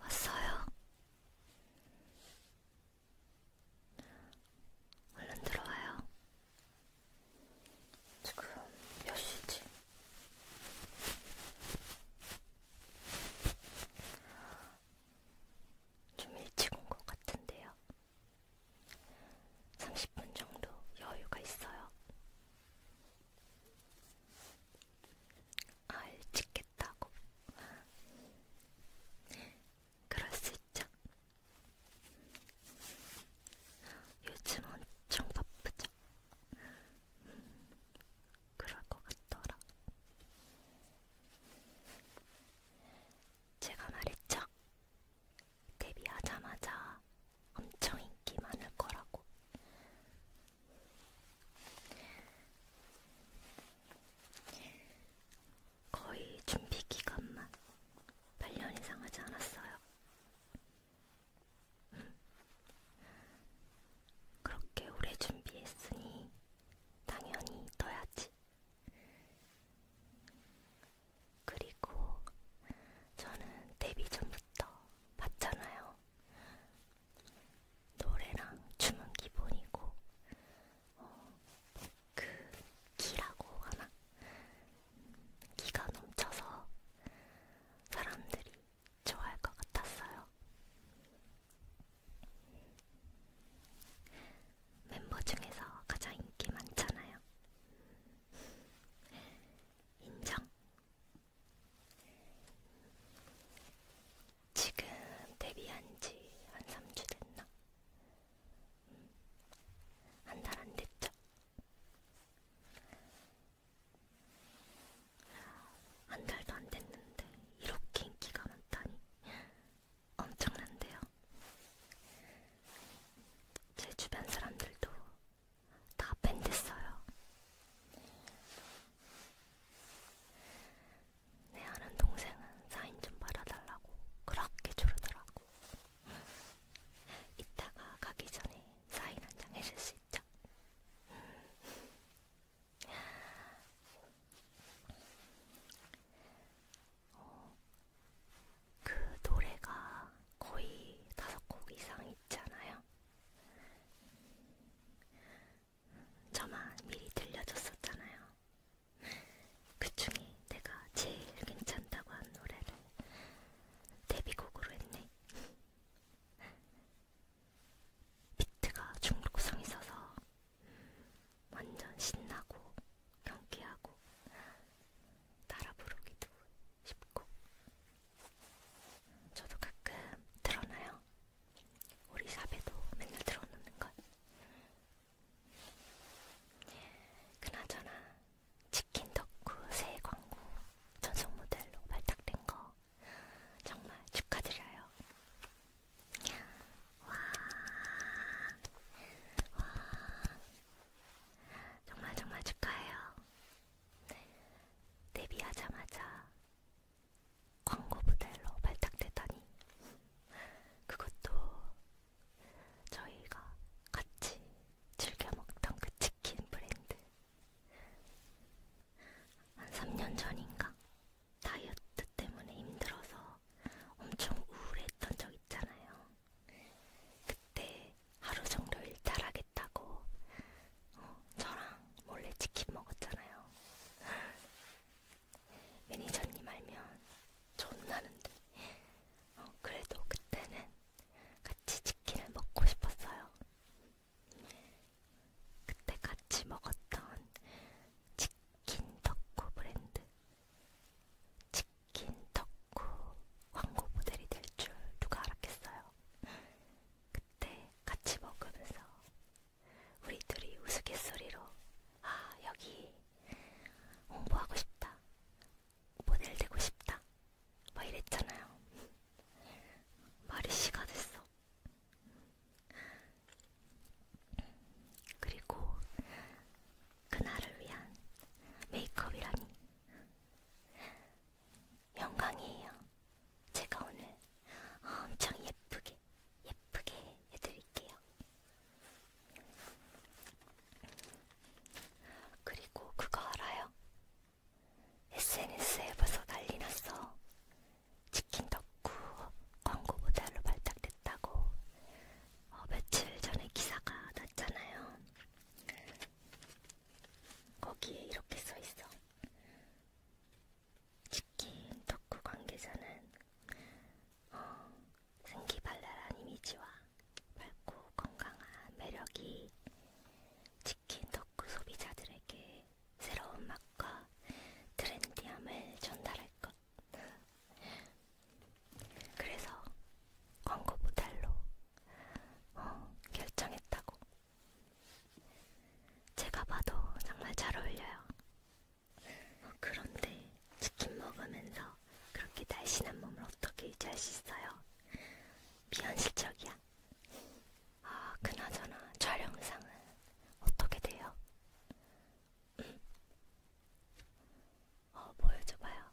왔어요. 얼른 들어와요. 지금 몇 시지? 좀 일찍 온 것 같은데요. 30분 정도 여유가 있어요. 아, 일찍 겠다고. 그럴 수 있죠. 요즘 엄청 바쁘죠? 음, 그럴 것 같더라. 제가 말했죠? 데뷔하자마자 엄청 인기 많을 거라고. 거의 준비 기간만 8년 이상 하지 않았어요. 그렇게 오래 준비했으니 당연히 떠야지. 그리고 저는 데뷔 전부터 봤잖아요. 노래랑 춤은 기본이고, 어, 그, 기라고 하나? 기가 넘쳐서 사람들이 좋아할 것 같았어요. 멤버 중에서 가장 인기 많잖아요. 인정. 지금 데뷔한 지 한 3주 됐나? 음, 한달 안 됐죠? 한 달도 안 됐는데 이렇게 인기가 많다니 엄청난데요. 제 주변 사람들도 다 밴됐어요. 내 아는 동생은 사인 좀 받아달라고 그렇게 조르더라고. 이따가 가기 전에 사인 한 장 해줄 수 있죠. 어, 그 노래가 거의 다섯 곡 이상 있잖아요. 저만 미리 들려줬었잖아요. 그 중에 내가 제일 괜찮다고 한 노래를 데뷔곡으로 했네요. 비트가 중독성 있어서 완전 신나고 경쾌하고 따라 부르기도 쉽고 저도 가끔 들어놔요. 우리 샵에도 맨날 들어놓는 걸. 그나저나 치킨 덕후 새 광고 전속 모델로 발탁된 거 정말 축하드려요. 와, 와, 정말 정말 축하해요. 네. 데뷔하자마자 광고 모델로 발탁되다니 그것도 저희가 같이 즐겨 먹던 그 치킨 브랜드. 한 3년 전인가? 다이어트 때문에 힘들어서 엄청 우울했던 적 있잖아요. 그때 하루 정도 일탈하겠다고 어, 저랑 몰래 치킨 먹었잖아요. 매니저님 알면 존나는데 어, 그래도 그때는 같이 치킨을 먹고 싶었어요. 그때 같이 먹었던 치킨 덕후 브랜드 치킨 덕후 광고 모델이 될 줄 누가 알았겠어요. 그때 같이 먹으면서 우리 둘이 우스갯소리로 아 여기 홍보하고 싶다. 모델 되고 싶다. 막 이랬잖아요. 말이 씨가 됐어. 그리고 그날을 위한 메이크업이라니 영광이에요. 제가 오늘 엄청 예쁘게 예쁘게 해드릴게요. 그리고 그거 알아요? SNS에 벌써 난리 났어. 치킨 덕후 광고 모델로 발탁됐다고 어, 며칠 전에 기사가 났잖아요. 거기에 이렇게 써 있어. 치킨 덕후 관계자는 어, 생기발랄한 이미지와 밝고 건강한 매력이 특히 덕후 소비자들에게 새로운 맛과 트렌디함을 전달할 것. 그래서 광고 모델로 어, 결정했다고. 제가 봐도 정말 잘 어울려요. 어, 그런데 치킨 먹으면서 그렇게 날씬한 몸을 어떻게 유지할 수 있어요? 비현실적이야. 아, 그나저나 촬영상은 어떻게 돼요? 음. 어, 보여줘봐요.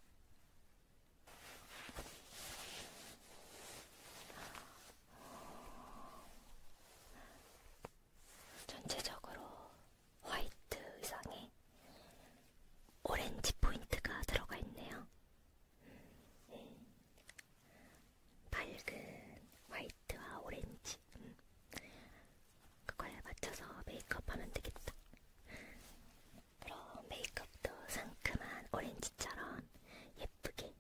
전체적으로 화이트 의상에 오렌지 포인트가 들어가 있네요. 음. 밝은 화이트와 오렌지 음. 그거에 맞춰서 메이크업하면 되겠다. 그럼 메이크업도 상큼한 오렌지처럼 예쁘게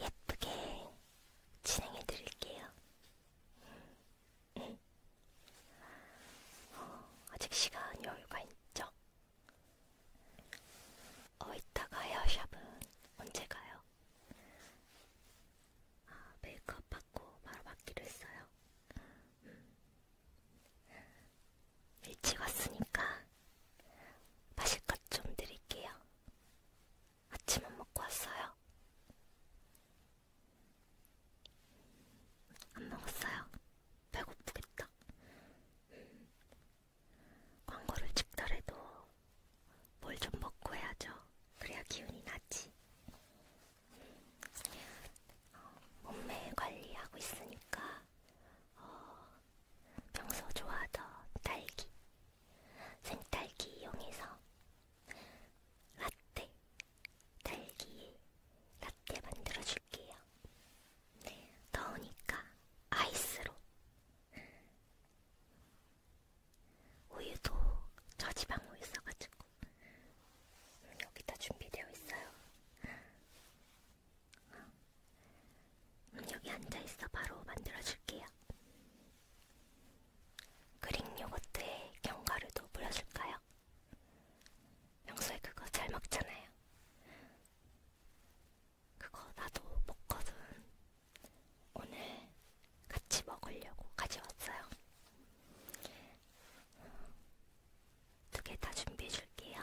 예쁘게 진행해 드릴게요. 음. 어, 아직 시간이 얼마 있죠? 어, 이따가 헤어샵은 언제 가요? 아, 메이크업 받고 바로 받기로 했어요. 음. 일찍 왔으니까 마실 것 좀 드릴게요. 아침은 먹고 왔어요. 안 먹었어요. 배고프겠다. 광고를 찍더라도 뭘 좀 먹고 해야죠. 그래야 기운이 나지. 어, 몸매 관리하고 있으니까 어, 평소 좋아하던 딸기, 생딸기 이용해서 라떼, 딸기 라떼 만들어줄게요. 더우니까 아이스로. 우유도 저지방우 있어가지고 여기다 준비되어 있어요. 음, 여기 앉아있어 바로 만들어줄게요. 그릭 요거트에 견과류도 뿌려줄까요? 명소에 그거 잘 먹잖아요. 그거 나도 먹거든. 오늘 같이 먹으려고 가져왔어요. 두 개 다 준비해 줄게요.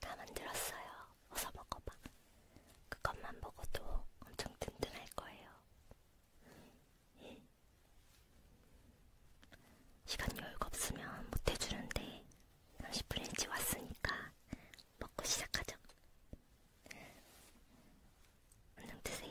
다 만들었어요. 어서 먹어봐. 그것만 먹어도 엄청 든든할 거예요. 시간 여유가 없으면 못 해주는데 30분 일찍 왔으니까 먹고 시작하죠. 안녕 드세요.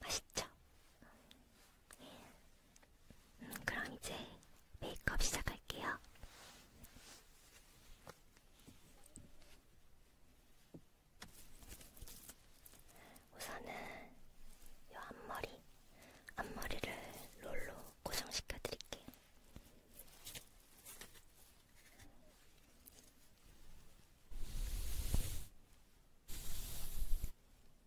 맛있죠? 음, 그럼 이제 메이크업 시작할게요. 우선은 이 앞머리, 앞머리를 롤로 고정시켜 드릴게요.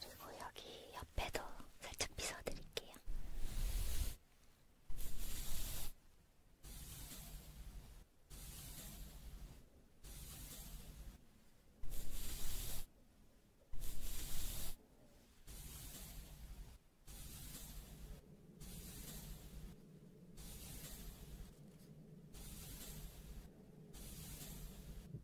그리고 여기 옆에도 살짝 빗어드릴게요.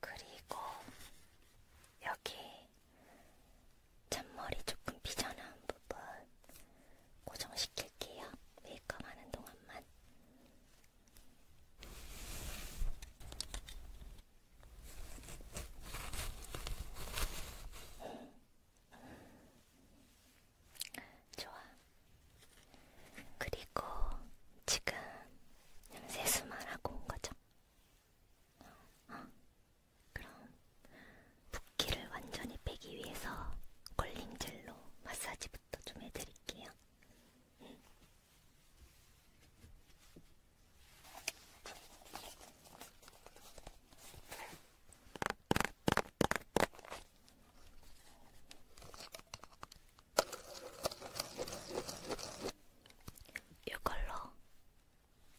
그리고 여기 잔머리 조금 비어나온 부분 고정시킬게요. 메이크업 하는 동안만. 좋아. 그리고 지금 세수만 하고 온 거죠? 어, 어? 그럼 붓기를 완전히 빼기 위해서 걸림질로 마사지부터 좀 해드릴게요. 응. 이걸로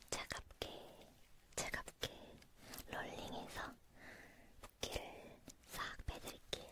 차갑게 차갑게 롤링해서 붓기를 싹 빼드릴게요.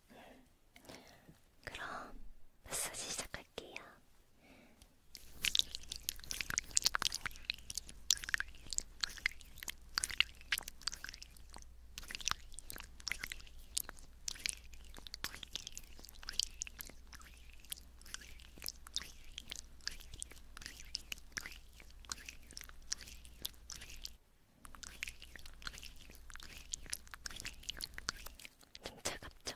그럼 마사지 시작할게요. 좀 차갑죠?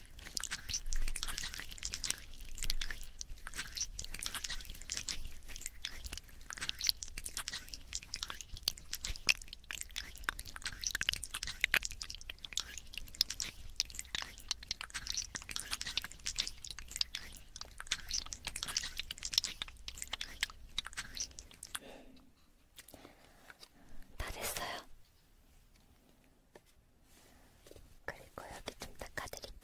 다 됐어요. 그리고 여기 좀 닦아드릴게요.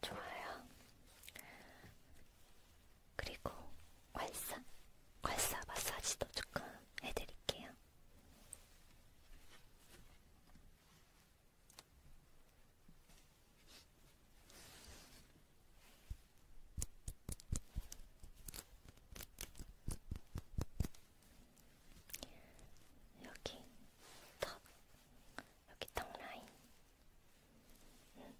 좋아요. 그리고 괄사, 괄사 마사지도 조금 해드릴게요. 여기 턱, 여기 턱 라인. 응.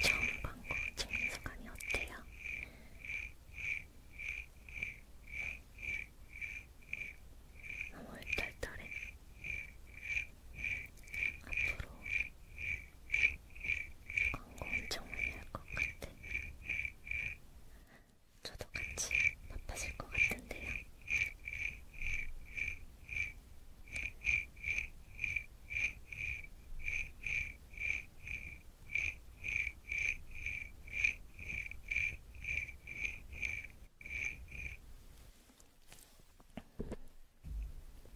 처음 광고 찍는 순간이 어때요? 너무 얼떨떨해. 앞으로 광고 엄청 많이 할 것 같아. 저도 같이 바빠질 것 같은데요.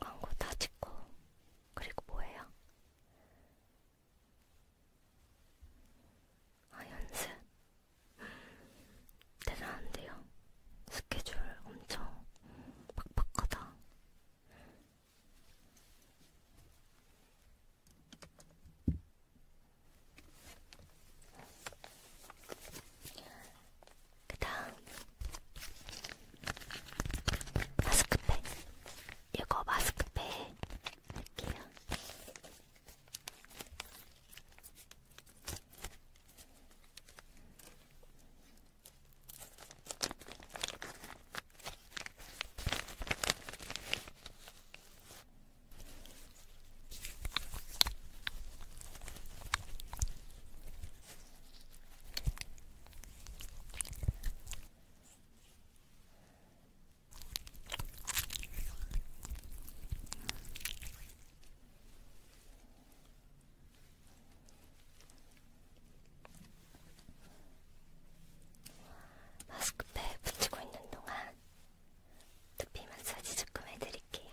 광고 다 찍고 그리고 뭐예요? 아 연습 대단한데요. 스케줄 엄청 빡빡하다. 그 다음 마스크팩 이거 마스크팩 할게요 마스크팩 붙이고 있는 동안 두피 마사지 조금 해드릴게요.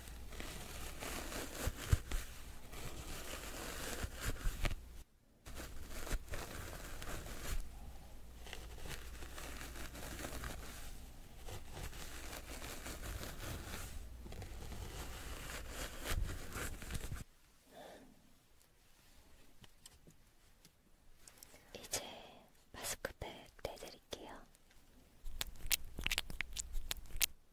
이제 마스크팩 떼드릴게요.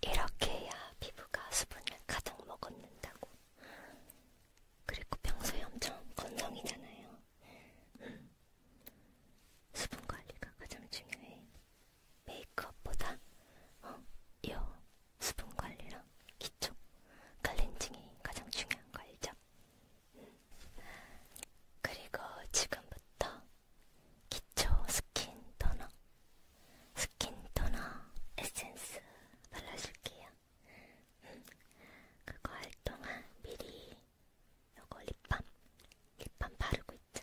이렇게 해야 피부가 수분을 가득 머금는다고. 그리고 평소에 엄청 건성이잖아요. 수분 관리가 가장 중요해. 메이크업보다, 어, 요 수분 관리랑 기초 클렌징이 가장 중요한 거 알죠? 음. 그리고 지금부터 기초 스킨 토너 스킨 토너 에센스 발라줄게요. 음. 그거 할 동안 미리 요거 립밤 립밤 바르고 있죠?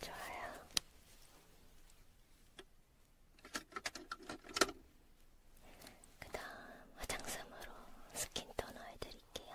좋아요. 그다음 화장솜으로 스킨 토너 해드릴게요.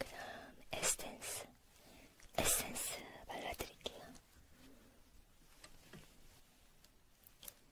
그럼 에센스, 에센스 발라드릴게요.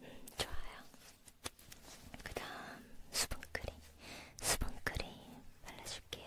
음, 좋아요. 그 다음 수분크림, 수분크림 발라줄게요.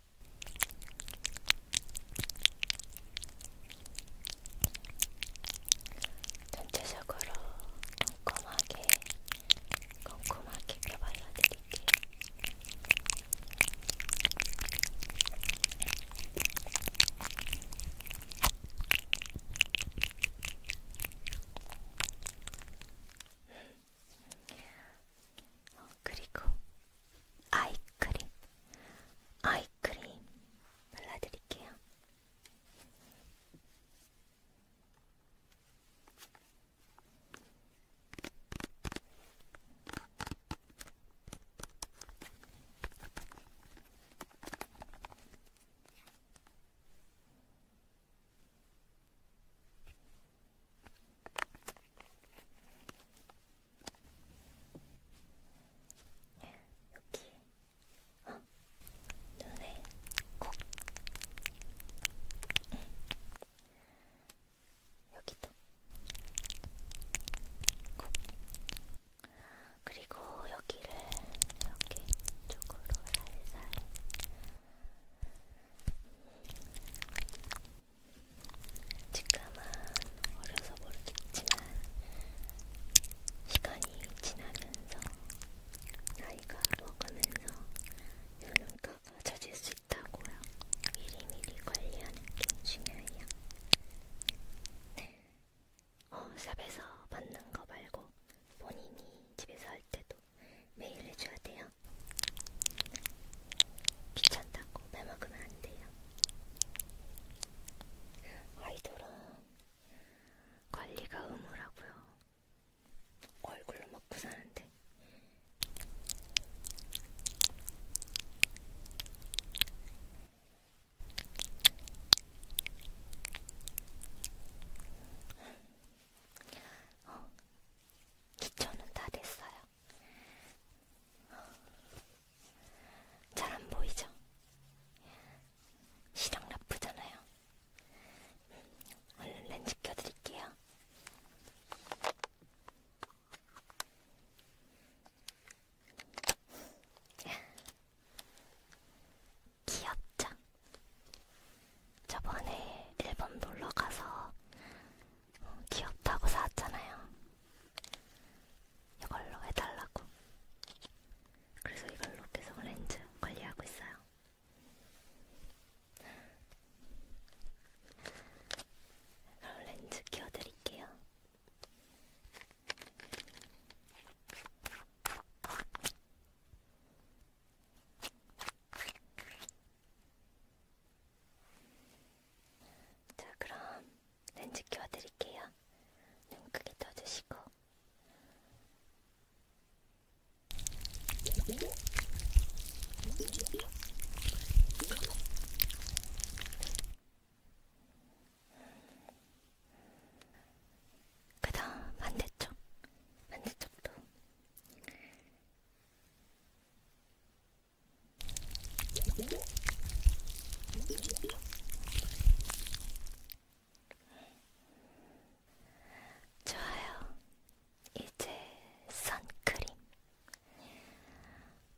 전체적으로 꼼꼼하게 꼼꼼하게 펴발라드릴게요. 그리고 아이크림, 아이크림 발라드릴게요. 여기 어? 눈에 콕 응. 여기도 콕 그리고 여기를 이렇게 쪽으로 살살 지금은 어려서 모르겠지만 시간이 지나면서 나이가 먹으면서 눈가가 젖을 수 있다고요. 미리미리 관리하는 게 중요해요. 네. 어, 샵에서 받는 거 말고 본인이 집에서 할 때도 매일 해줘야 돼요. 귀찮다고 빼먹으면 안 돼요. 아이돌은 관리가 의무라고요. 얼굴로 먹고 사는데. 어, 기초는 다 됐어요. 잘안 보이죠? 시력 나쁘잖아요. 얼른 렌즈 껴드릴게요. 귀엽죠? 저번에 일본 놀러가서 어, 귀엽다고 사왔잖아요. 이걸로 해달라고. 그래서 이걸로 계속 렌즈 관리하고 있어요. 그럼 렌즈 끼워드릴게요. 자, 그럼 렌즈 켜드릴게요. 눈 크게 떠주시고. 그 다음 반대쪽, 반대쪽도 좋아요. 이제 선크림.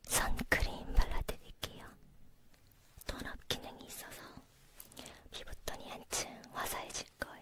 선크림 발라드릴게요. 톤업 기능이 있어서 피부톤이 한층 화사해질 거예요.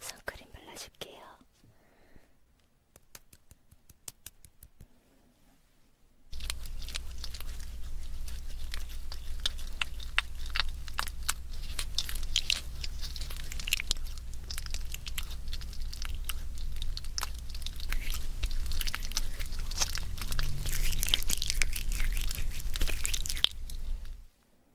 선크림 발라줄게요.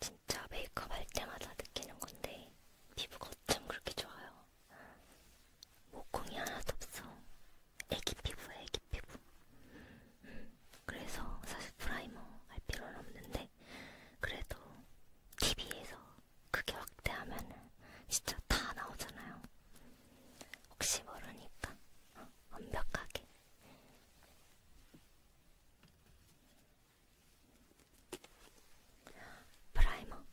진짜 메이크업 할 때마다 느끼는 건데 피부가 어쩜 그렇게 좋아요. 모공이 하나도 없어. 애기 피부야, 애기 피부. 그래서 사실 프라이머 할 필요는 없는데 그래도 TV에서 크게 확대하면은 진짜 다 나오잖아요. 혹시 모르니까 어, 완벽하게. 프라이머.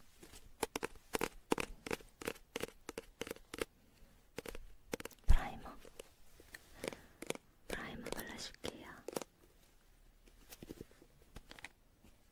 프라이머. 프라이머 발라줄게요.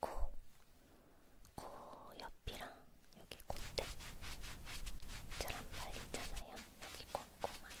코, 코 옆이랑 여기 콧대 잘안 말리잖아요. 여기 꼼꼼하게.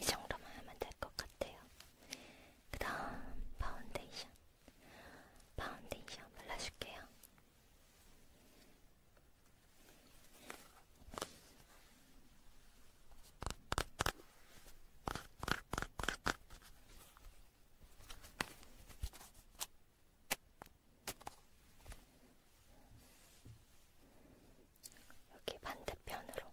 이 정도만 하면 될 것 같아요. 그 다음 파운데이션. 파운데이션 발라줄게요. 여기 반대편으로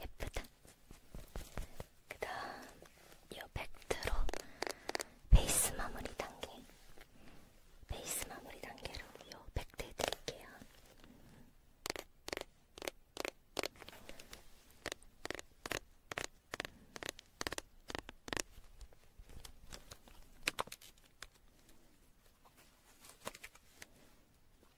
예쁘다. 그 다음 이 팩트로 베이스 마무리 단계 베이스 마무리 단계로 이 팩트 해드릴게요.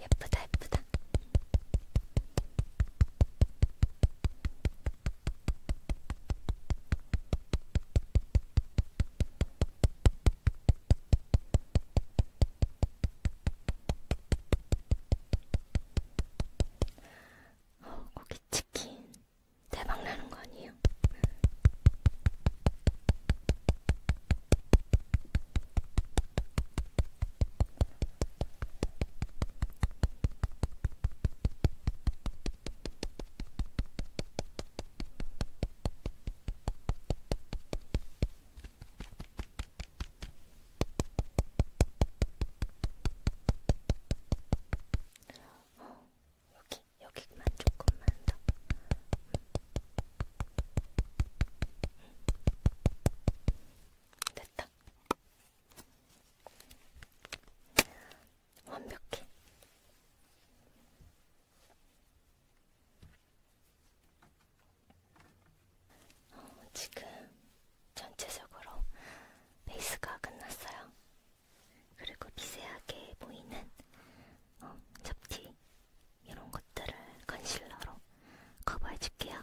예쁘다, 예쁘다. 어, 고기 치킨 대박 나는 거 아니에요? 어, 여기, 여기만 조금만 더. 됐다. 완벽해. 어, 지금 전체적으로 베이스가 끝났어요. 그리고 미세하게 보이는 어, 잡티 이런 것들을 컨실러로 커버해줄게요.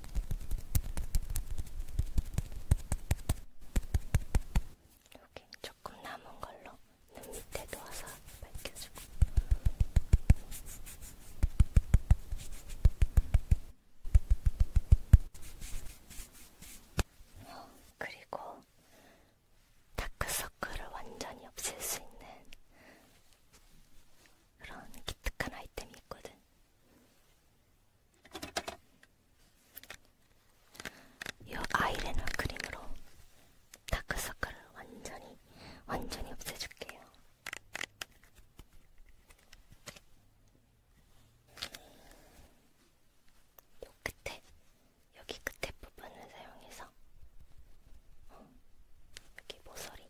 여기 조금 남은 걸로 눈 밑에 놓아서 밝혀주고 어, 그리고 다크서클을 완전히 없앨 수 있는 그런 기특한 아이템이 있거든. 이 아이라는 크림으로 다크서클을 완전히 완전히 없애줄게요. 요 끝에 여기 끝에 부분을 사용해서 어, 여기 모서리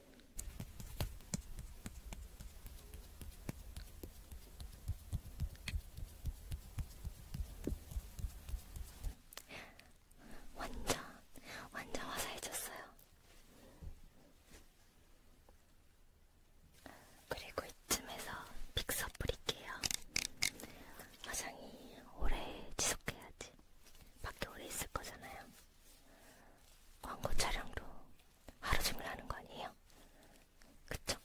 완전 완전 화사해졌어요. 그리고 이쯤에서 픽서 뿌릴게요. 화장이 오래 지속해야지. 밖에 오래 있을 거잖아요. 광고 촬영도 하루 종일 하는 거 아니에요? 그쵸?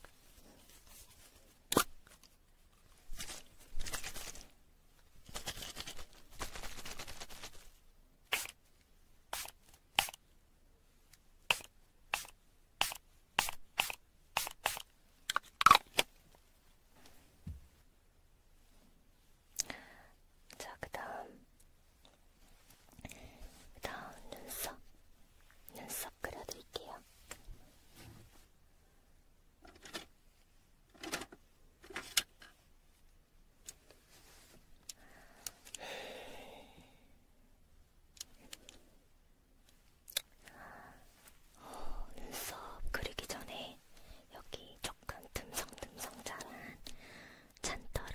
자, 그 다음 다음 눈썹, 눈썹 그려드릴게요. 어, 눈썹 그리기 전에 여기 조금 듬성듬성 자란 잔털을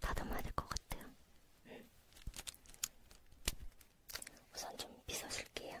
다듬어야 될 것 같아요. 음. 우선 좀 빗어줄게요.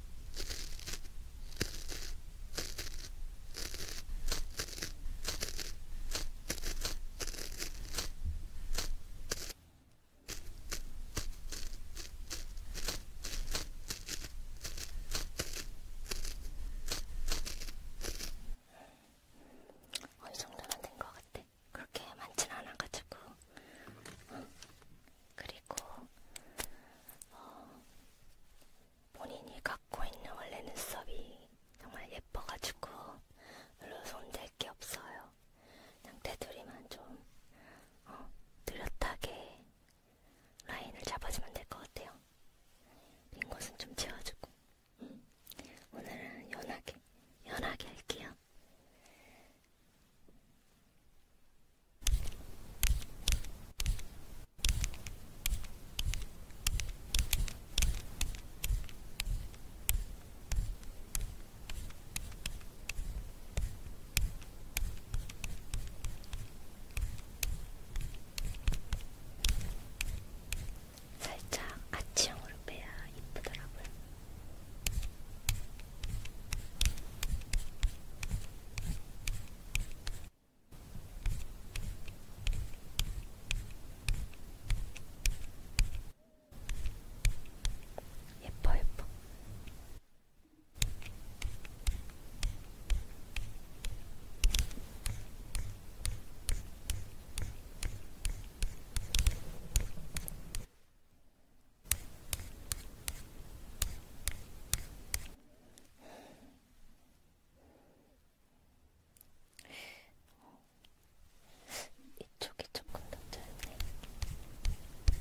어, 이 정도면 된것 같아. 그렇게 많진 않아가지고. 응. 그리고 어, 본인이 갖고 있는 원래 눈썹이 정말 예뻐가지고 별로 손 댈 게 없어요. 그냥 테두리만 좀 어, 느렸하게 라인을 잡아주면 될 것 같아요. 빈 곳은 좀 채워주고 음. 오늘은 연하게 연하게 할게요. 살짝 아치형으로 빼야 이쁘더라고요. 예뻐 예뻐. 이쪽이 조금 더 뜨네.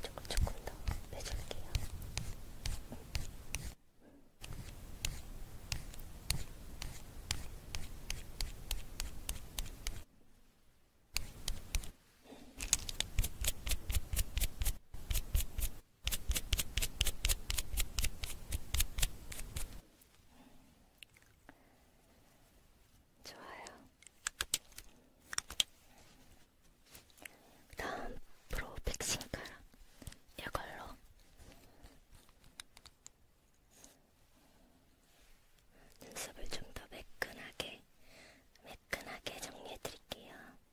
이쪽을 조금 더 빼줄게요. 좋아요. 다음 프로 백신가랑 이걸로 눈썹을 좀 더 매끈하게 매끈하게 정리해 드릴게요.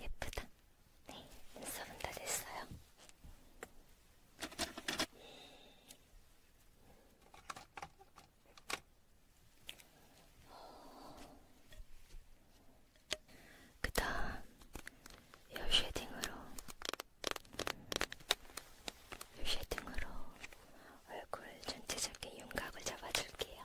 예쁘다. 네, 눈썹은 다 됐어요. 그 다음, 요 쉐딩으로, 요 쉐딩으로 얼굴 전체적인 윤곽을 잡아줄게요.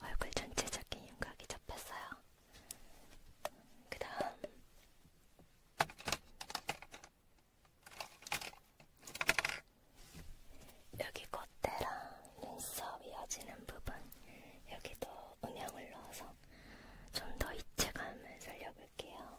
얼굴 전체적인 윤곽이 잡혔어요. 그 다음, 여기 콧대랑 눈썹 이어지는 부분, 여기도 음영을 넣어서 좀 더 입체감을 살려볼게요.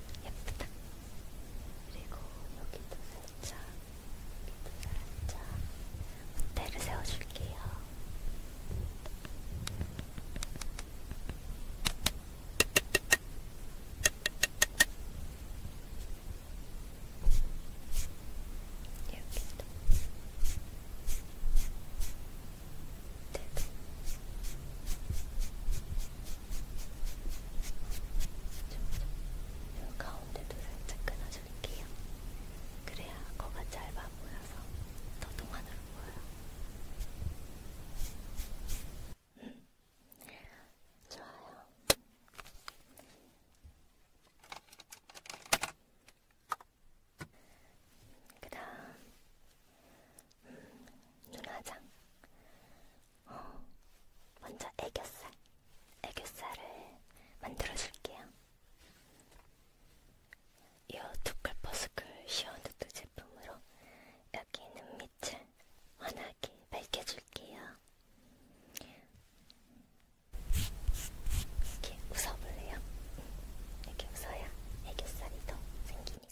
예쁘다. 그리고 여기도 살짝, 여기도 살짝 문대를 세워줄게요. 여기도. 요 가운데도 살짝 끊어줄게요. 그래야 거가 짧아 보여서 더 동안으로 보여. 좋아요. 그다음 음, 눈화장 어, 먼저 애교살 애교살을 만들어줄게요 이 두클버스클 시원두두 제품으로 여기 있는 밑을 환하게 밝혀줄게요 이렇게 웃어볼래요? 이렇게 웃어야 애교살이 더 생기니까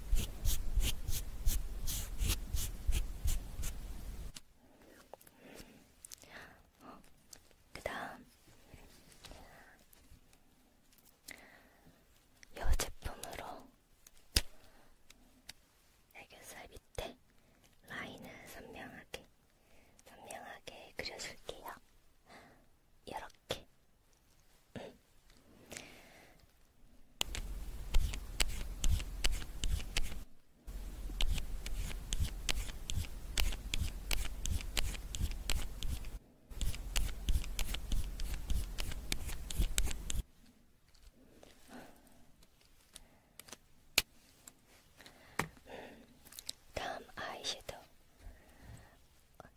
어, 그다음 이 제품으로 애교살 밑에 라인을 선명하게 선명하게 그려줄게요. 이렇게 다음 아이섀도우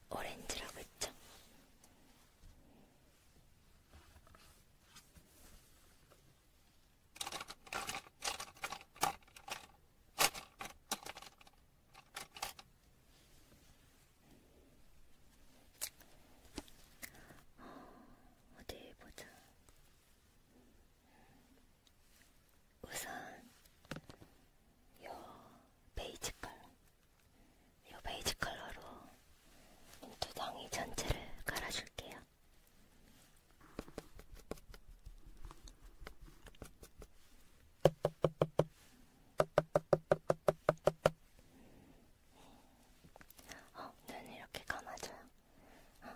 오렌지라고 했죠? 어디 보자. 우선 요 베이지 컬러. 이 베이지 컬러로 인두덩이 전체를 깔아줄게요. 어, 눈 이렇게 감아줘요. 어.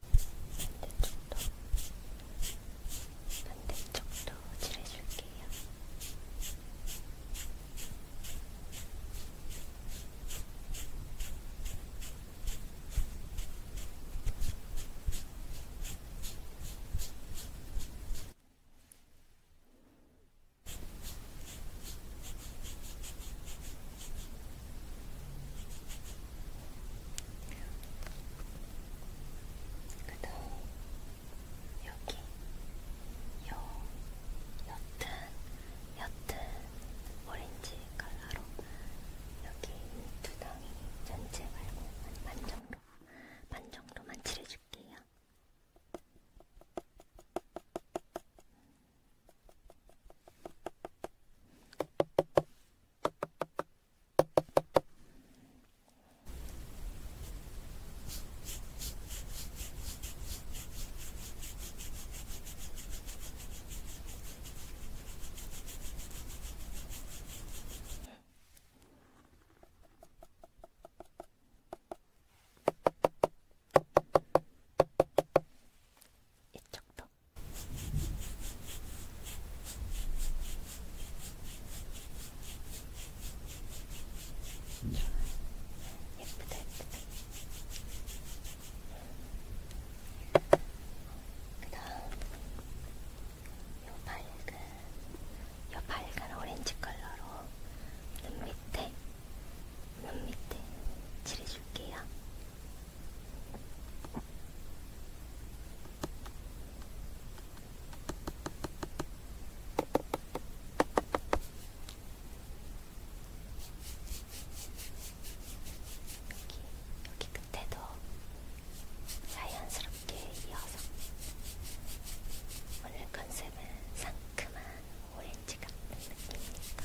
반대쪽도, 반대쪽도 칠해줄게요. 네, 그 다음 여기 요 옅은 옅은 오렌지 컬러로 여기 두 덩이 전체 말고 반 정도 반 정도만 칠해줄게요. 이쪽도 예쁘다, 예쁘다. 그 다음, 요 밝은, 요 밝은 오렌지 컬러로 눈 밑에, 눈 밑에 칠해줄게요. 여기 끝에도 자연스럽게 이어서 오늘 컨셉은 상큼한 오렌지 같은 느낌이니까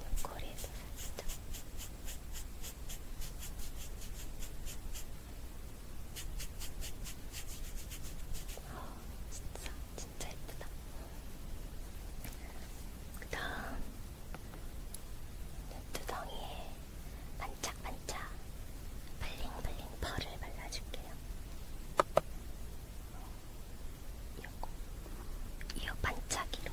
눈꼬리도 살짝 아 진짜 진짜 예쁘다 그 다음 눈두덩이에 반짝반짝 블링블링 펄을 발라줄게요. 요거 이어 반짝이로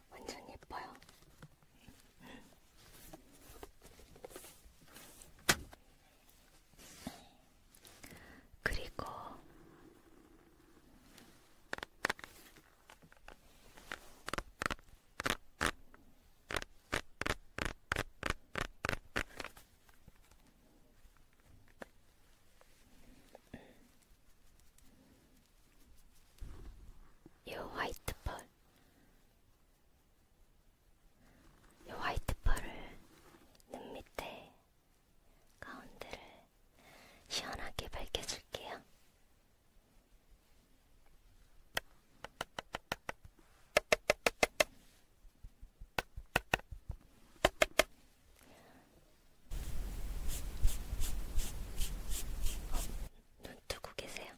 완전 예뻐요. 그리고 요 화이트 펄, 요 화이트 펄을 눈 밑에 가운데를 시원하게 밝혀줄게요. 어, 눈 뜨고 계세요?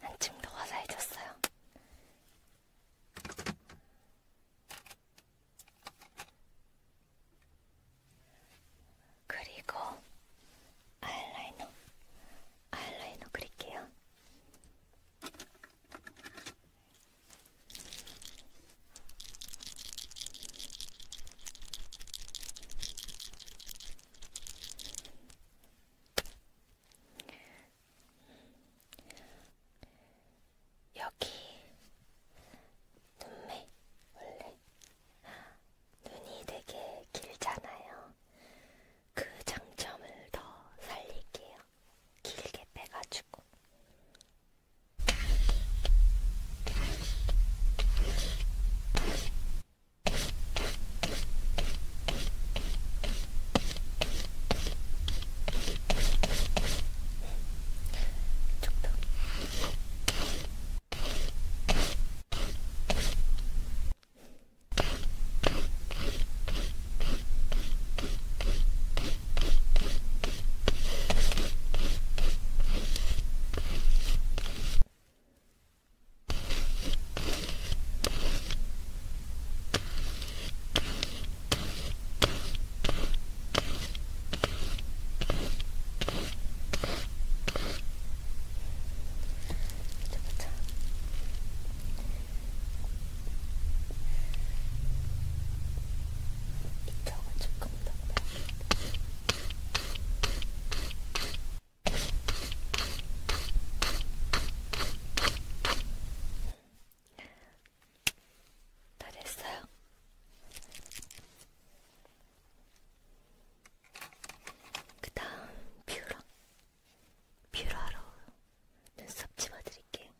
한층 더 화사해졌어요. 그리고 아이라이너, 아이라이너 그릴게요. 여기 눈매 원래 눈이 되게 길잖아요. 그 장점을 더 살릴게요. 길게 빼가지고. 이쪽도. 보자. 이쪽은 조금 더. 다 됐어요. 그 다음 뷰러. 뷰러로 눈썹 집어드릴게요.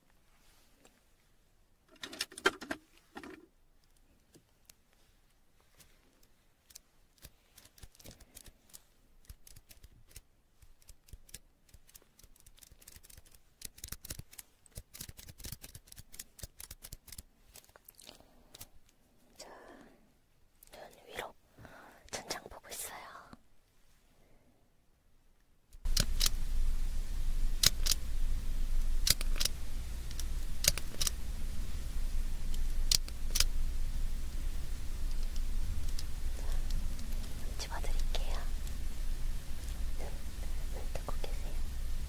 자, 눈 위로 천장 보고 있어요. 집어드릴게요. 눈, 눈 뜨고 계세요.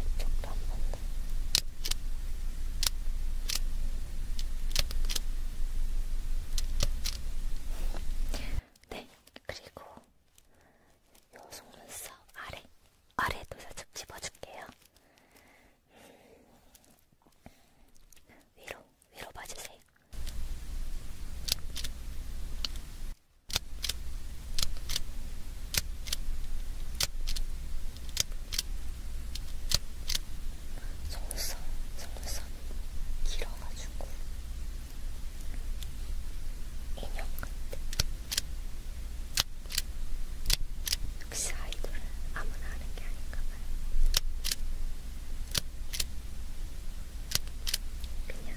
이쪽도 한번 더. 네, 그리고 요 속눈썹 아래, 아래도 살짝 집어줄게요. 위로, 위로 봐주세요. 속눈썹, 속눈썹 길어가지고 인형 같아. 역시 아이돌은 아무나 하는 게 아닌가 봐요. 그냥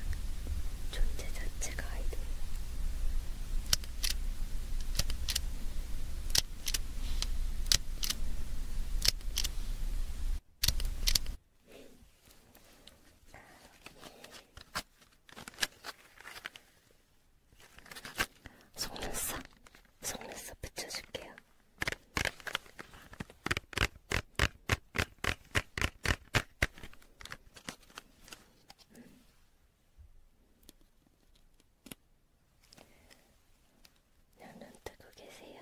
존재 자체가 아이돌. 속눈썹, 속눈썹 붙여줄게요. 그냥 음. 눈 뜨고 계세요.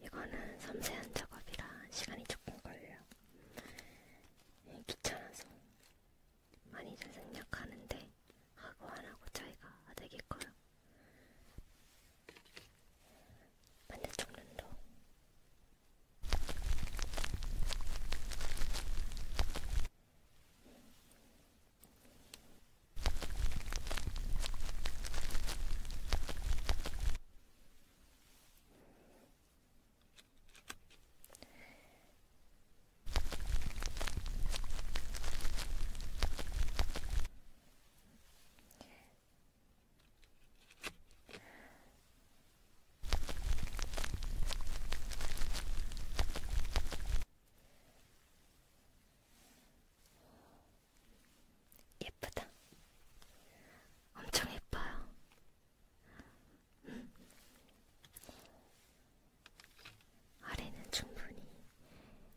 이거는 섬세한 작업이라 시간이 조금 걸려. 귀찮아서 많이 생략하는데 하고 안하고 차이가 되게 커요 반대쪽 눈도 예쁘다. 엄청 예뻐요. 아래는 충분히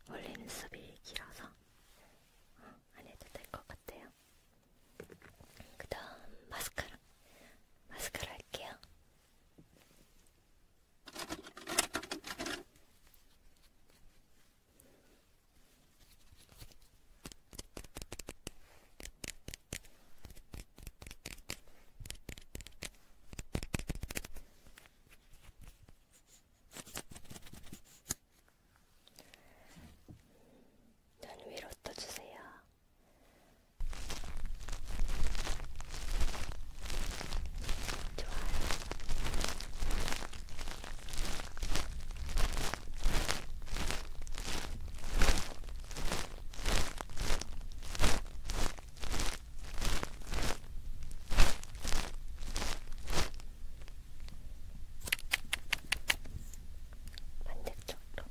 원래 눈썹이 길어서 어, 안 해도 될 것 같아요. 그 다음 마스카라 마스카라 할게요. 눈 위로 떠주세요. 좋아요. 반대쪽으로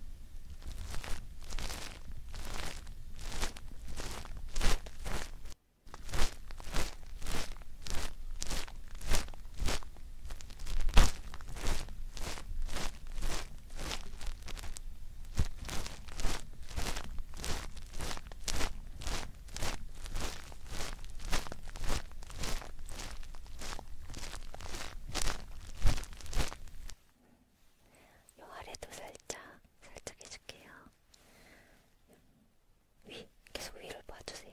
요 아래도 살짝 살짝 해줄게요. 위 계속 위를 봐주세요.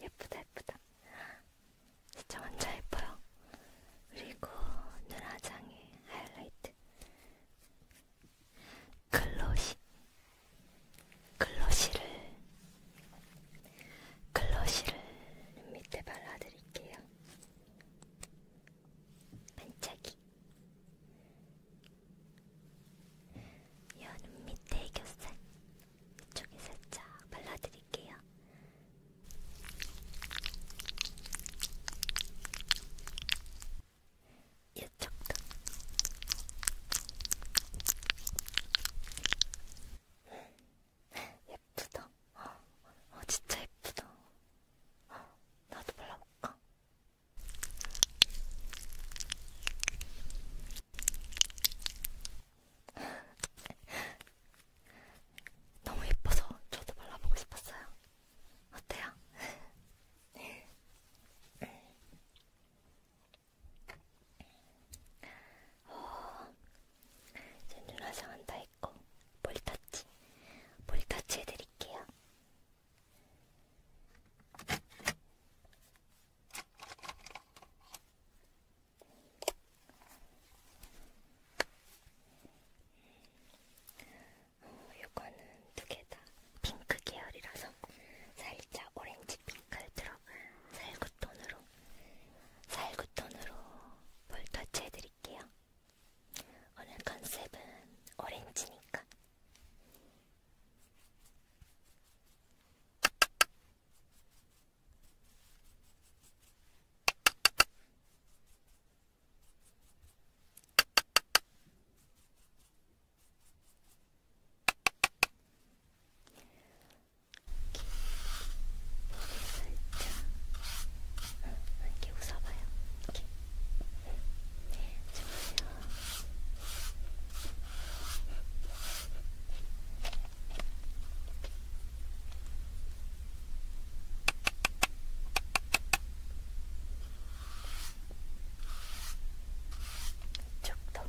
예쁘다 예쁘다 진짜 완전 예뻐요 그리고 눈화장에 하이라이트 글로시 글러쉬를 글러쉬를 밑에 발라드릴게요. 반짝이 여눈 밑에 애교살 이쪽에 살짝 발라드릴게요. 이 쪽도. 예쁘다. 어, 진짜 예쁘다. 나도 발라볼까? 너무 예뻐서 저도 발라보고 싶었어요. 어때요? 어, 전준화상은 다 했고 볼터치, 볼터치 해드릴게요. 어, 이거는 두개다 핑크 계열이라서 살짝 오렌지 핑갈 들어간 살구톤으로 살구톤으로 볼 터치해드릴게요. 오늘 컨셉은 오렌지니까. 이렇게, 이렇게 웃어봐요. 이렇게. 좋아요. 쪽도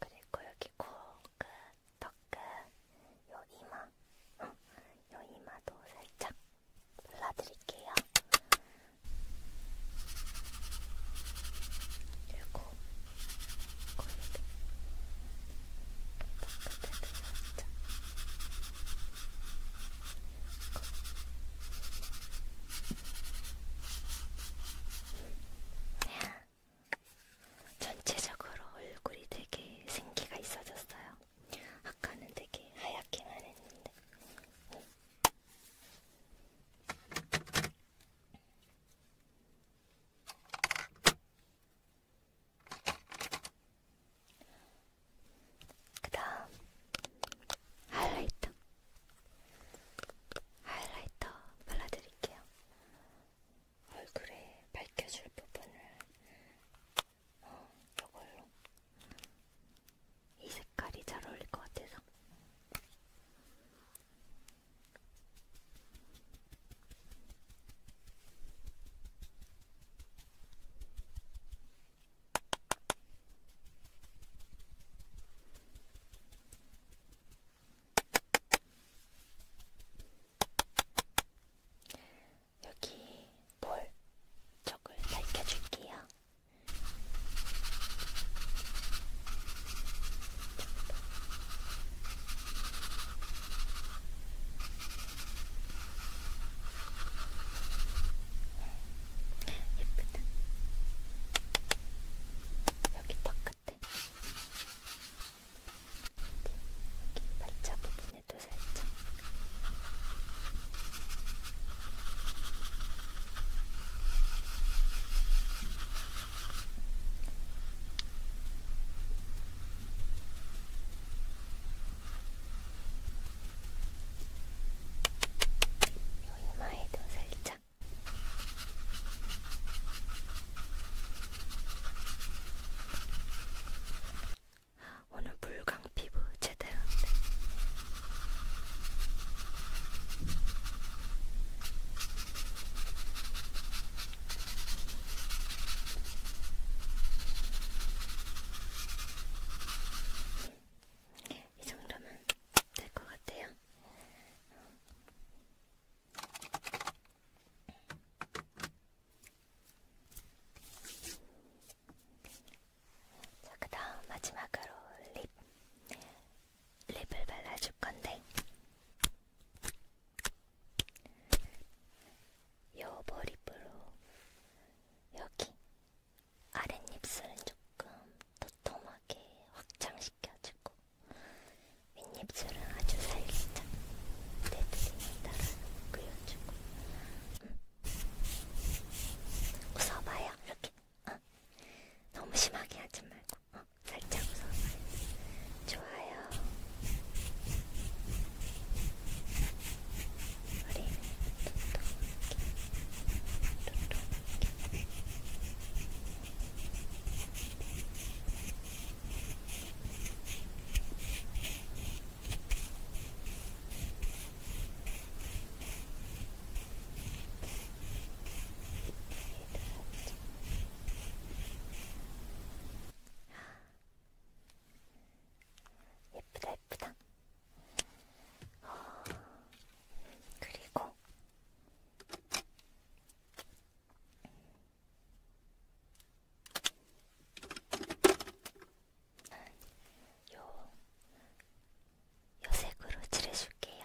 그리고 여기 코, 끝, 턱끝, 요 이마, 응. 요 이마도 살짝 발라드릴게요. 그리고 코입 바깥에 들어왔죠. 전체적으로 얼굴이 되게 생기가 있어졌어요. 아까는 되게 하얗게만 했는데. 응. 그 다음 하이라이터 하이라이터 발라드릴게요. 얼굴에 밝혀줄 부분을 어, 이걸로 이 색깔이 잘 어울릴 것 같아서. 여기 볼 쪽을 밝혀줄게요. 예쁘다. 여기 바깥에 여기 발자 부분에도 살짝 이마에도 살짝. 오늘 물광 피부 제대로인데 이 정도면 될 것 같아요. 자, 그 다음 마지막으로 립. 립을 발라줄 건데, 요 머리부로 여기 아랫입술은 조금 도톰하게 확장시켜주고, 윗입술은 아주 살짝 내 드림에 따라 그려주고, 음. 웃어봐요. 이렇게 아, 너무 심하게 하지 말고 어, 살짝 웃어봐요. 좋아요. 머리는 두툼하게, 두툼하게. 아, 예쁘다 예쁘다 어, 그리고 요, 요색으로 칠해줄게요.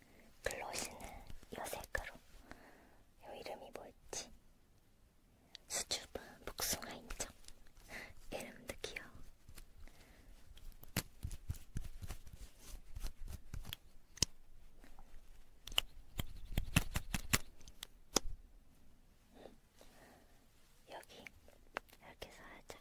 글로시는 요 색으로 요 이름이 뭐였지? 수줍은 복숭아 인정 이름도 귀여워 여기 이렇게 살짝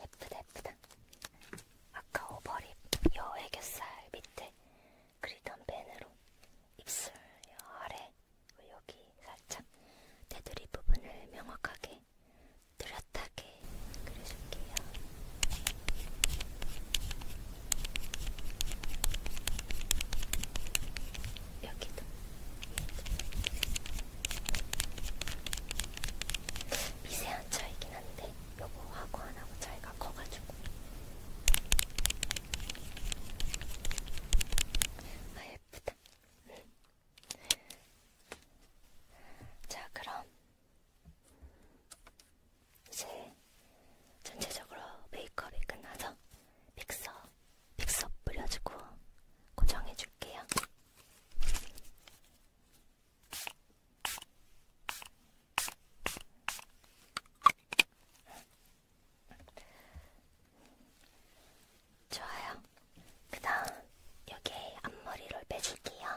예쁘다 예쁘다 아까 오버립 여 애교살 밑에 그리던 펜으로 입술 여 아래 여기 살짝 테두리 부분을 명확하게 뚜렷하게 그려줄게요. 여기도 미세한 차이긴 한데 요거 하고 하나고 차이가 커가지고 아 예쁘다 자 그럼 이제 전체적으로 메이크업이 끝나서 픽서 픽서 뿌려주고 고정해줄게요. 좋아요. 그 다음, 여기 앞머리를 빼줄게요.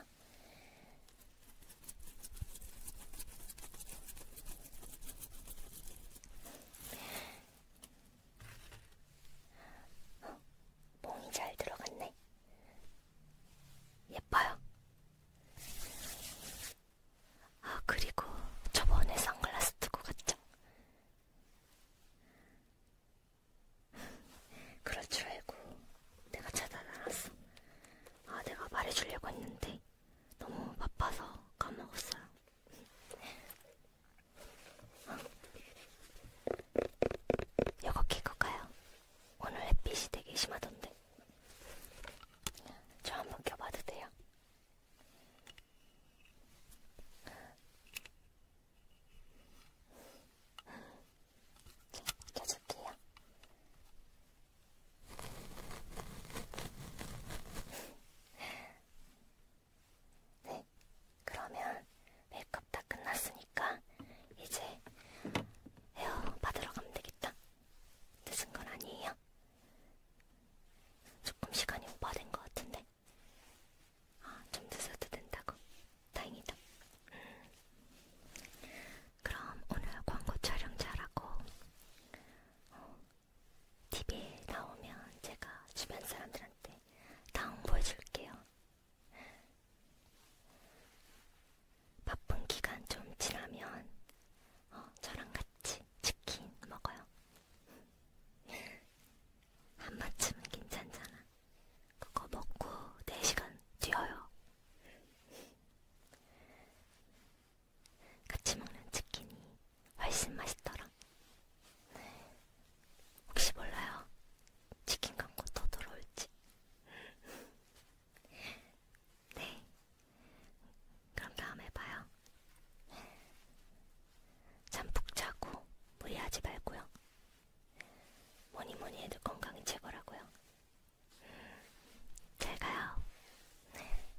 몽이 잘 들어갔네. 예뻐요. 아, 그리고 저번에 선글라스 두고 갔죠? 그럴 줄 알고 내가 찾아다녔어. 아, 내가 말해주려고 했는데 너무 바빠서 까먹었어요. 요거 끼고 가요. 오늘 햇빛이 되게 심하던데. 저 한번 껴봐도 돼요? 자, 껴줄게요. 네, 그러면 메이크업 다 끝났으니까 이제 헤어 받으러 가면 되겠다. 늦은 건 아니에요? 조금 시간이 오버된 것 같은데? 아, 좀 늦어도 된다고? 다행이다. 음. 그럼 오늘 광고 촬영 잘하고 어, TV에 나오면 제가 주변 사람들한테 다 홍보해줄게요. 바쁜 기간 좀 지나면 어, 저랑 같이 치킨 먹어요. 한 번쯤은 괜찮잖아. 그거 먹고 4시간 뛰어요. 같이 먹는 치킨이 훨씬 맛있더라. 혹시 몰라요. 치킨 광고 더 들어올지. 네. 그럼 다음에 봐요. 잠푹 자고 무리하지 말고요. 뭐니 뭐니 해도 건강이 최고라고요. 잘 가요. 네.